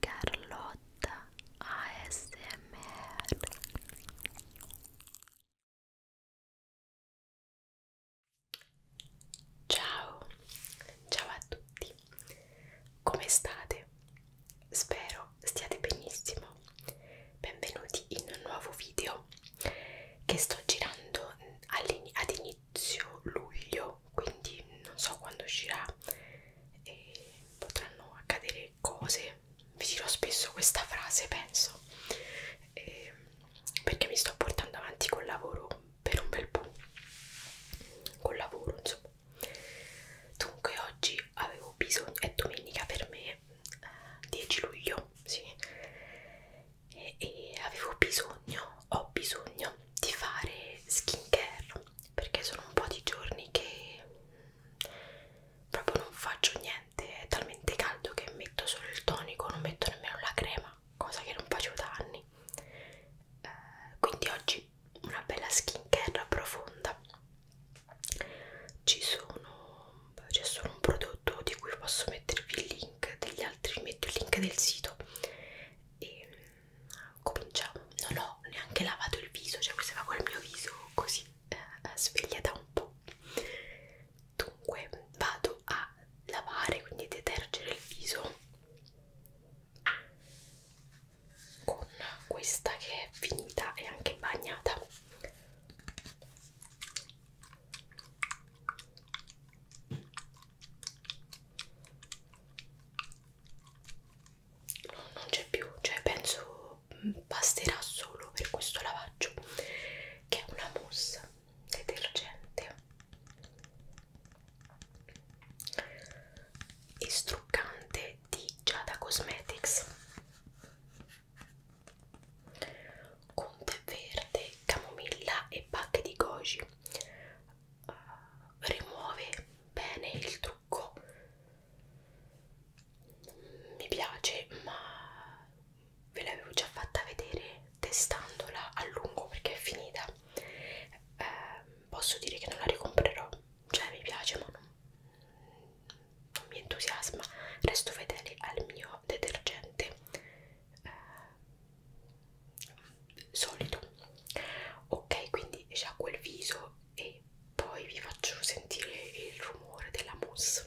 Carlotta ASMR Ciao, ciao a tutti, come state? Spero stiate benissimo, benvenuti in un nuovo video che sto girando ad inizio inizio luglio quindi non so quando uscirà e potranno accadere cose vi dirò spesso questa frase penso e ehm, perché mi sto portando avanti col lavoro per un bel po' col lavoro insomma dunque oggi avevo bisogno è domenica per me 10 eh, luglio sì e, e avevo bisogno, ho bisogno di fare skincare perché sono un po' di giorni che mm, proprio non faccio niente, è talmente caldo che metto solo il tonico, non metto nemmeno la crema, cosa che non facevo da anni. Eh, quindi oggi una bella skincare profonda. Ci sono c'è cioè solo un prodotto di cui posso mettervi il link degli altri, vi metto il link del sito e mm, cominciamo, non ho neanche lavato il viso, cioè questo va col mio viso così eh, eh sveglia da un po'. Dunque vado a lavare, quindi detergere il viso con questa che è finita e anche bagnata no, non c'è più, cioè penso basterà solo per questo lavaggio che è una mousse detergente e struccante di Giada Cosmetics con tè verde, camomilla e bacche di goji uh, eh, rimuove bene il trucco mi piace ma ve l'avevo già fatta vedere testandola a lungo perché è finita eh, posso dire che non la ricomprerò cioè mi piace ma non, non mi entusiasma resto fedele al mio detergente eh, solido ok quindi già quel viso e poi vi faccio sentire il rumore della mousse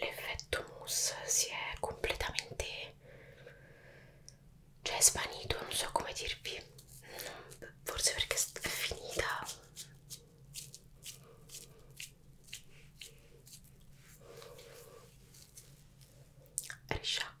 l'effetto mousse si è completamente cioè svanito non so come dirvi non, forse perché è finita risciacqua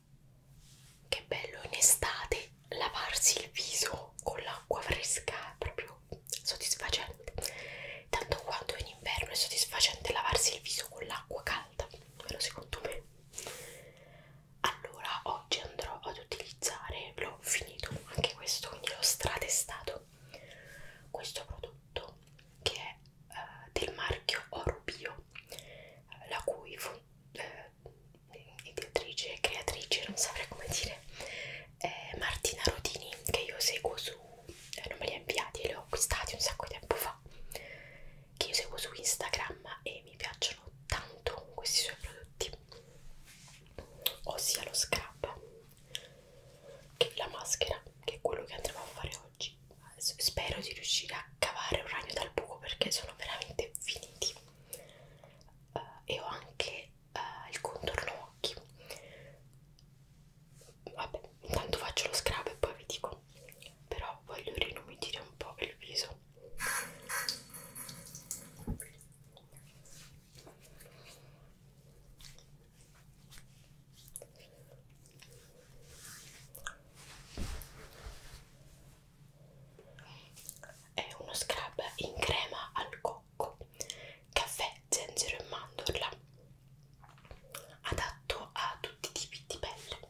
Che bello in estate lavarsi il viso con l'acqua fresca è proprio soddisfacente. Tanto quanto in inverno è soddisfacente lavarsi il viso con l'acqua calda, almeno secondo me. Allora oggi andrò ad utilizzare, l'ho finito anche questo, quindi l'ho stratestato, questo prodotto che è eh, del marchio Orobio, eh, la cui eh, ideatrice e creatrice, non saprei come dire, è Martina Rodini, che io seguo su, eh, non me li ha inviati, li ho acquistati un sacco di tempo fa, che io seguo su Instagram e mi piacciono tanto questi suoi prodotti, ossia lo scrub, che è la maschera, che è quello che andremo a fare oggi. Spero di riuscire a cavare un ragno dal buco perché sono veramente finiti uh, e ho anche uh, il contorno occhi vabbè intanto faccio lo scrub e poi vi dico però voglio rinumidire un po' il viso è uno scrub in crema al cocco, caffè, zenzero e mandorla, adatto a tutti i tipi di pelle.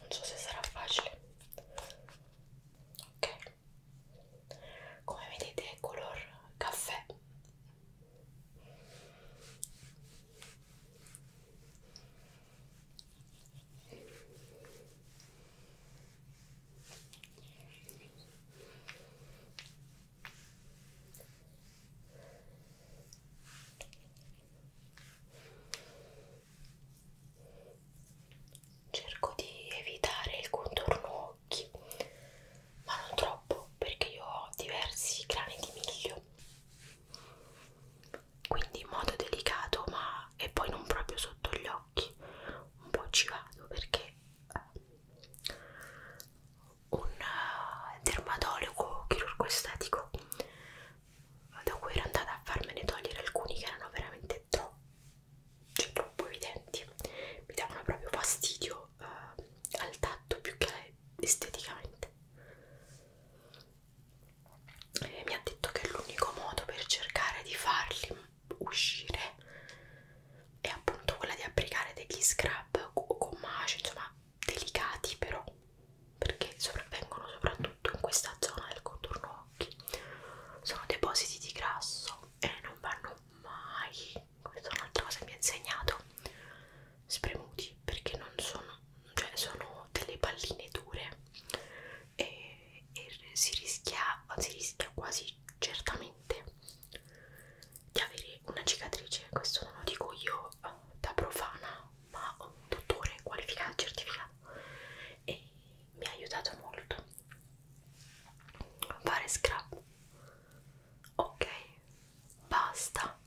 Non so se sarà facile. Ok, come vedete è color caffè Cerco di evitare il contorno occhi ma non troppo perché io ho diversi grani di miglio quindi in modo delicato ma e poi non proprio sotto gli occhi un po' ci vado perché eh, un eh, dermatologo chirurgo estetico da cui ero andata a farmene togliere alcuni che erano veramente troppo, cioè, troppo evidenti mi davano proprio fastidio proprio uh, eh, al tatto più che esteticamente e mi ha detto che l'unico modo per cercare di farli uscire è appunto quella di applicare degli scrub o gommage insomma delicati però perché sopravvengono soprattutto in questa zona del contorno occhi sono depositi di grasso e non vanno mai questa è un'altra cosa che mi ha insegnato spremuti perché non sono cioè sono delle palline dure e, e si rischia si rischia quasi certamente di avere una cicatrice questo non lo dico io eh, da profana ma un dottore qualificato certificato e mi ha aiutato molto fare scrap ok basta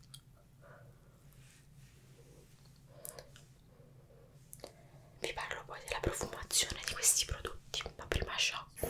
vi parlo poi della profumazione di questi prodotti ma prima sciacquo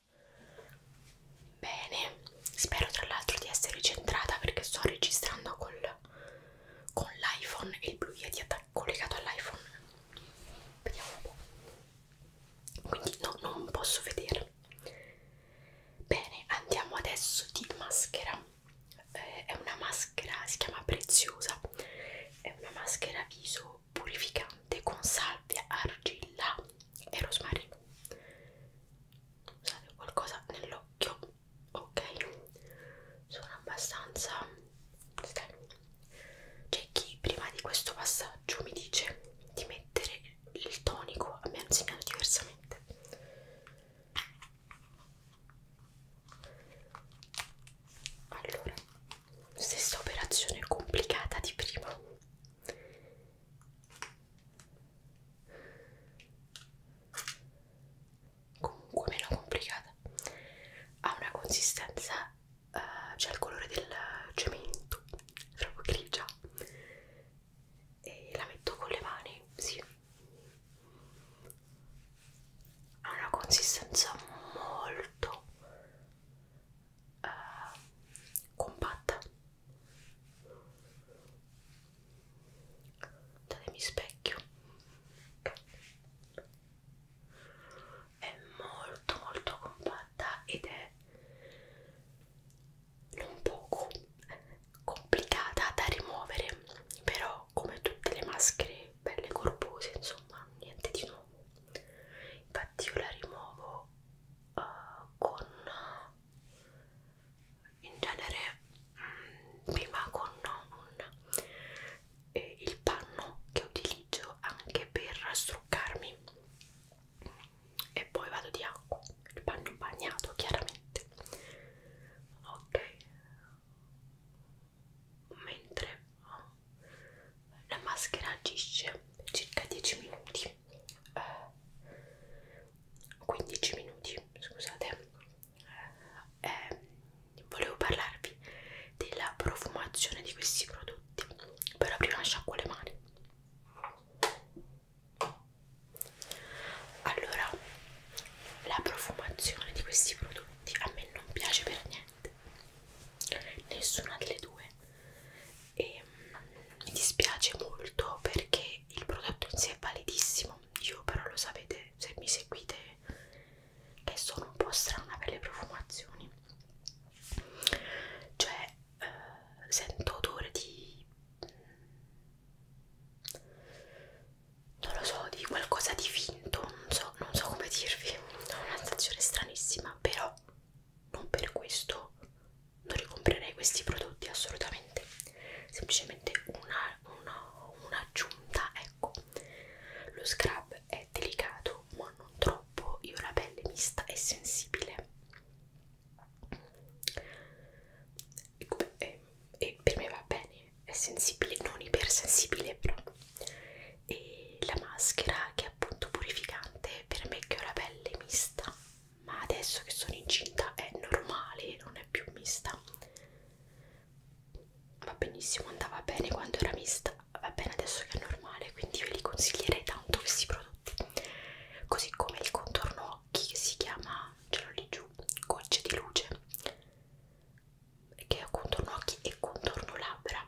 Bene, spero tra l'altro di essere centrata perché sto registrando col, con l'iPhone e il blu yeti collegato all'iPhone. Vediamo un po'. Quindi no, non posso vedere. Bene, andiamo adesso di maschera. Eh, è una maschera, si chiama Preziosa. È una maschera viso purificante con salvia, argilla e rosmarino Scusate, qualcosa nell'occhio, ok? Sono abbastanza. C'è chi prima di questo passaggio mi dice di mettere il tonico, a me hanno insegnato diversamente. Allora, stessa operazione complicata di prima comunque meno complicata ha una consistenza uh, cioè il colore del cemento è proprio grigia e la metto con le mani sì ha una consistenza molto uh, compatta datemi specchio è molto molto compatta ed è non poco complicata da rimuovere però come tutte le maschere belle corpose insomma niente di nuovo infatti io la rimuovo uh, con in genere mh, mm, prima con un, eh, il panno che utilizzo anche per struccarmi e poi vado di acqua il panno bagnato chiaramente ok mentre la maschera agisce circa 10 minuti eh, 15 minuti, scusate, eh, volevo parlarvi della profumazione di questi prodotti, però prima sciacquo le mani. Allora, la profumazione di questi prodotti a me non piace per niente nessuna delle due e mh, mm, mi dispiace molto perché il prodotto in sé è validissimo io però lo sapete se mi seguite che eh, sono un po' strana per le profumazioni cioè eh, sento odore di mm, non lo so di qualcosa di finto non so, non so come dirvi ho una sensazione stranissima però non per questo non ricomprerei questi prodotti assolutamente semplicemente un'aggiunta una, un ecco lo scrub è delicato ma non troppo io ho la pelle mista e sensibile e, e, e per me va bene è sensibile non ipersensibile però e la maschera che è appunto purificante per me che ho la pelle mista ma adesso che sono incinta è normale non è più mista va benissimo andava bene quando era mista va bene adesso che è normale quindi ve li consiglierei tanto questi prodotti così come il contorno occhi che si chiama ce l'ho lì giù gocce di luce che è contorno occhi e contorno labbra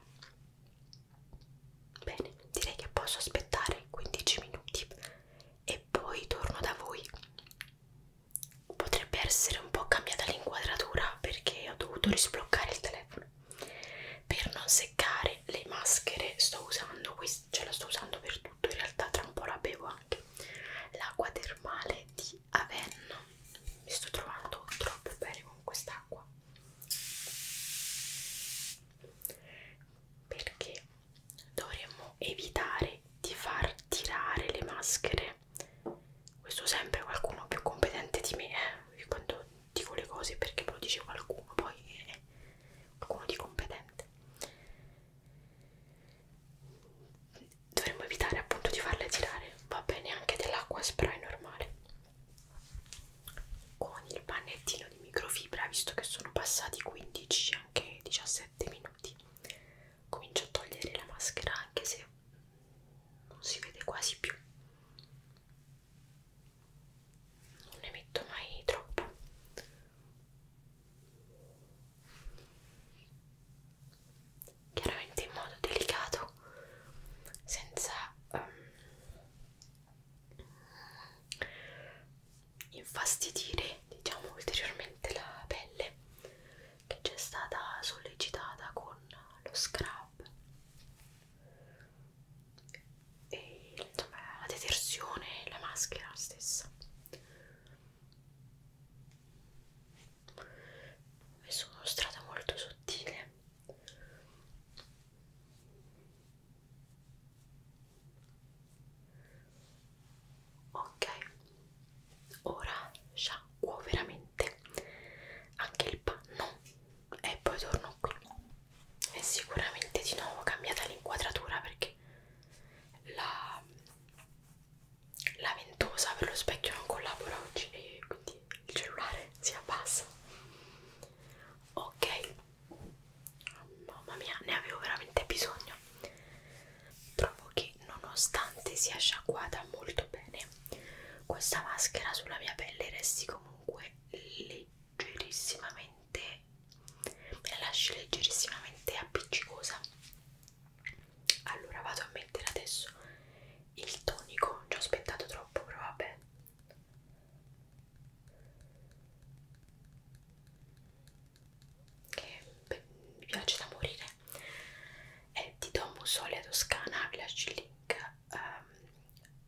Bene, direi che posso aspettare 15 minuti e poi torno da voi. Potrebbe essere un po' cambiata l'inquadratura perché ho dovuto risbloccare il telefono. Per non seccare le maschere sto usando questa, ce la sto usando per tutto, in realtà tra un po' la bevo anche. L'acqua termale di Avenno. Mi sto trovando troppo bene con quest'acqua perché dovremmo evitare di far tirare le maschere questo sempre qualcuno più competente di me eh? quando dico le cose perché poi lo dice qualcuno poi eh, qualcuno di competente dovremmo evitare appunto di farle tirare va bene anche dell'acqua spray normale con il pannettino di microfibra visto che sono passati 15 anche 17 minuti comincio a togliere la maschera anche se non si vede quasi più non ne metto mai troppo chiaramente in modo delicato ecco senza um, infastidire diciamo ulteriormente la pelle che ci è stata sollecitata con lo scrub e insomma la detersione e la maschera stessa ho messo uno strato molto sottile ok ora sciacquo veramente anche il panno e poi torno qui e sicuramente di nuovo cambiata l'inquadratura perché la, la ventosa per lo specchio non collabora oggi e quindi che il cellulare si abbassa ok mamma mia ne avevo veramente bisogno trovo che nonostante sia sciacquata molto bene questa maschera sulla mia pelle resti comunque leggerissimamente me la lasci leggerissimamente appiccicosa allora vado a mettere adesso il tonico non ci ho aspettato troppo però vabbè che eh, beh, mi piace da morire è eh, di Don Musole Toscana Glacial Link um,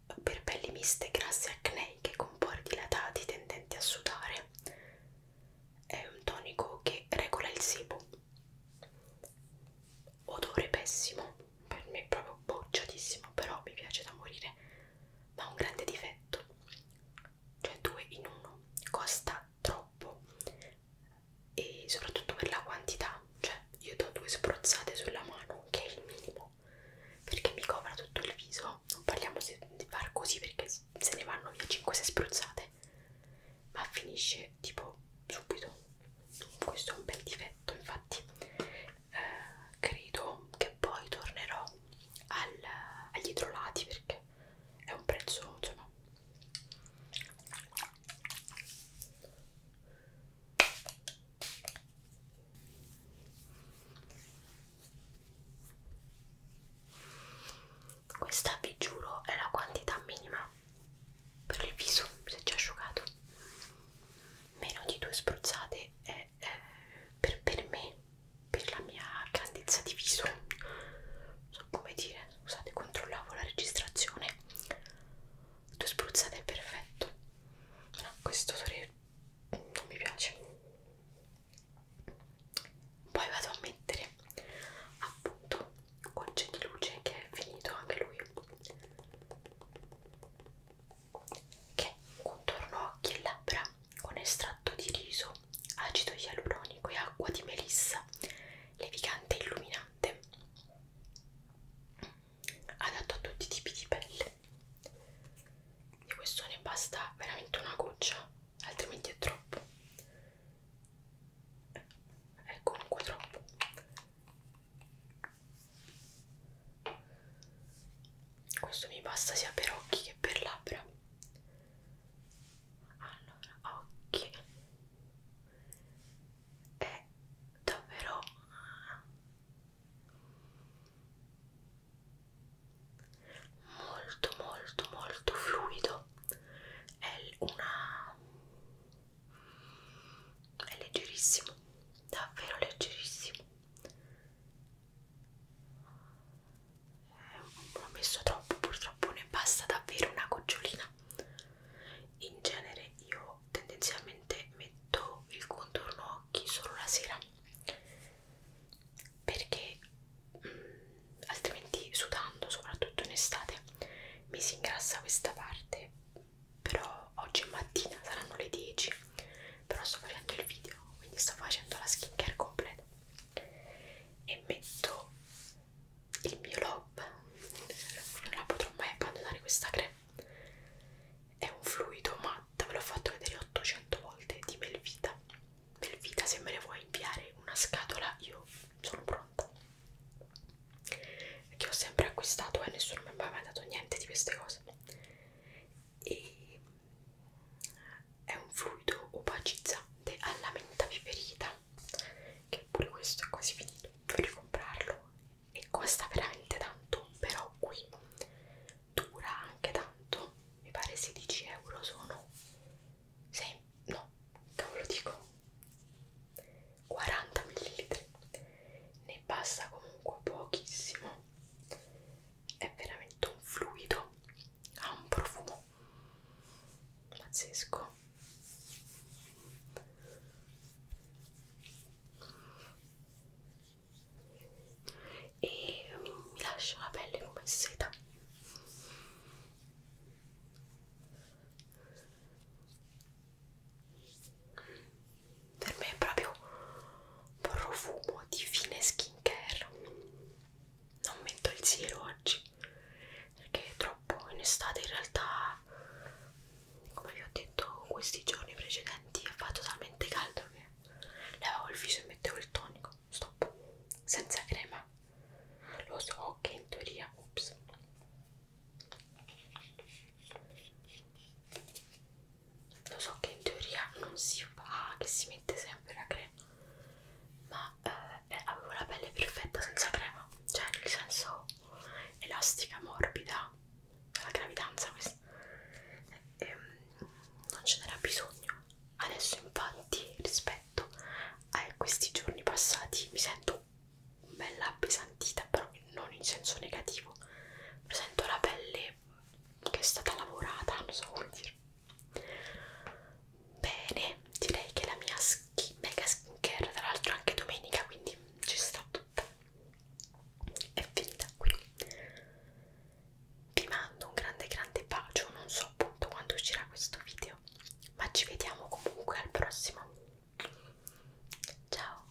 ehm, per pelli miste grasse acneiche con pori dilatati tendenti a sudare è un tonico che regola il sebo odore pessimo per me è proprio bocciatissimo, però mi piace da morire, ma ha un grande difetto, cioè due in uno, costa troppo e soprattutto per la quantità, cioè io do due spruzzate sulla mano, che è il minimo, perché mi copra tutto il viso, non parliamo di far così perché se ne vanno via 5-6 spruzzate, ma finisce tipo subito questo è un bel difetto infatti eh, credo che poi tornerò al, agli idrolati perché è un prezzo insomma questa vi giuro è la quantità minima per il viso se già asciugato meno di due spruzzate è, eh, per, per me per la mia grandezza di viso so come dire scusate controllavo la registrazione due spruzzate è perfetto no questo odore non mi piace poi vado a mettere appunto Conce di luce che è finito anche lui che contorno occhi e labbra con estratto di riso, acido ialuronico e acqua di melissa levigante e illuminante adatto a tutti i tipi di pelle di questo ne basta veramente una goccia altrimenti è troppo è comunque troppo questo mi basta sia per occhi che per labbra allora occhi è davvero molto molto molto fluido è una è leggerissimo davvero leggerissimo l'ho messo troppo purtroppo ne basta davvero una gocciolina in genere io tendenzialmente metto il contorno occhi solo la sera perché mh, mm, altrimenti sudando soprattutto in estate mi si ingrassa questa parte però oggi mattina saranno le 10 però sto facendo il video quindi sto facendo la skincare completa e metto il mio lob non la potrò mai abbandonare questa crema è un fluido matta ve l'ho fatto vedere 800 volte di Melvita Melvita se me ne vuoi inviare una scatola io sono pronta che ho sempre acquistato e eh, nessuno mi aveva mai dato niente di queste cose e è un fluido opacizzante alla menta peperita che pure questo è quasi finito dovrei comprarlo e costa veramente tanto però qui dura anche tanto mi pare 16 euro sono 6, no, cavolo dico 40 ml ne passa comunque pochissimo è veramente un fluido ha un profumo pazzesco e mm, mi lascia la pelle come seta per me è proprio un profumo di fine skincare non metto il siero oggi perché è troppo in estate in realtà come vi ho detto questi giorni precedenti ha fatto talmente caldo che lavavo il viso e mettevo il tonico stop senza crema teoria lo so che in teoria ups lo so che in teoria non si fa che si mette sempre la crema ma eh, avevo la pelle perfetta senza crema cioè nel senso elastica morbida la gravidanza questa e, ehm, e, non ce n'era bisogno adesso infatti rispetto letto eh, questi giorni passati mi sento bella appesantita però non in senso negativo mi sento la pelle che è stata lavorata non so come dire bene direi che la mia skin, mega skincare tra l'altro anche domenica quindi ci sta tutta è finita qui vi mando un grande grande bacio non so so appunto quando uscirà questo video ma ci vediamo comunque al prossimo ciao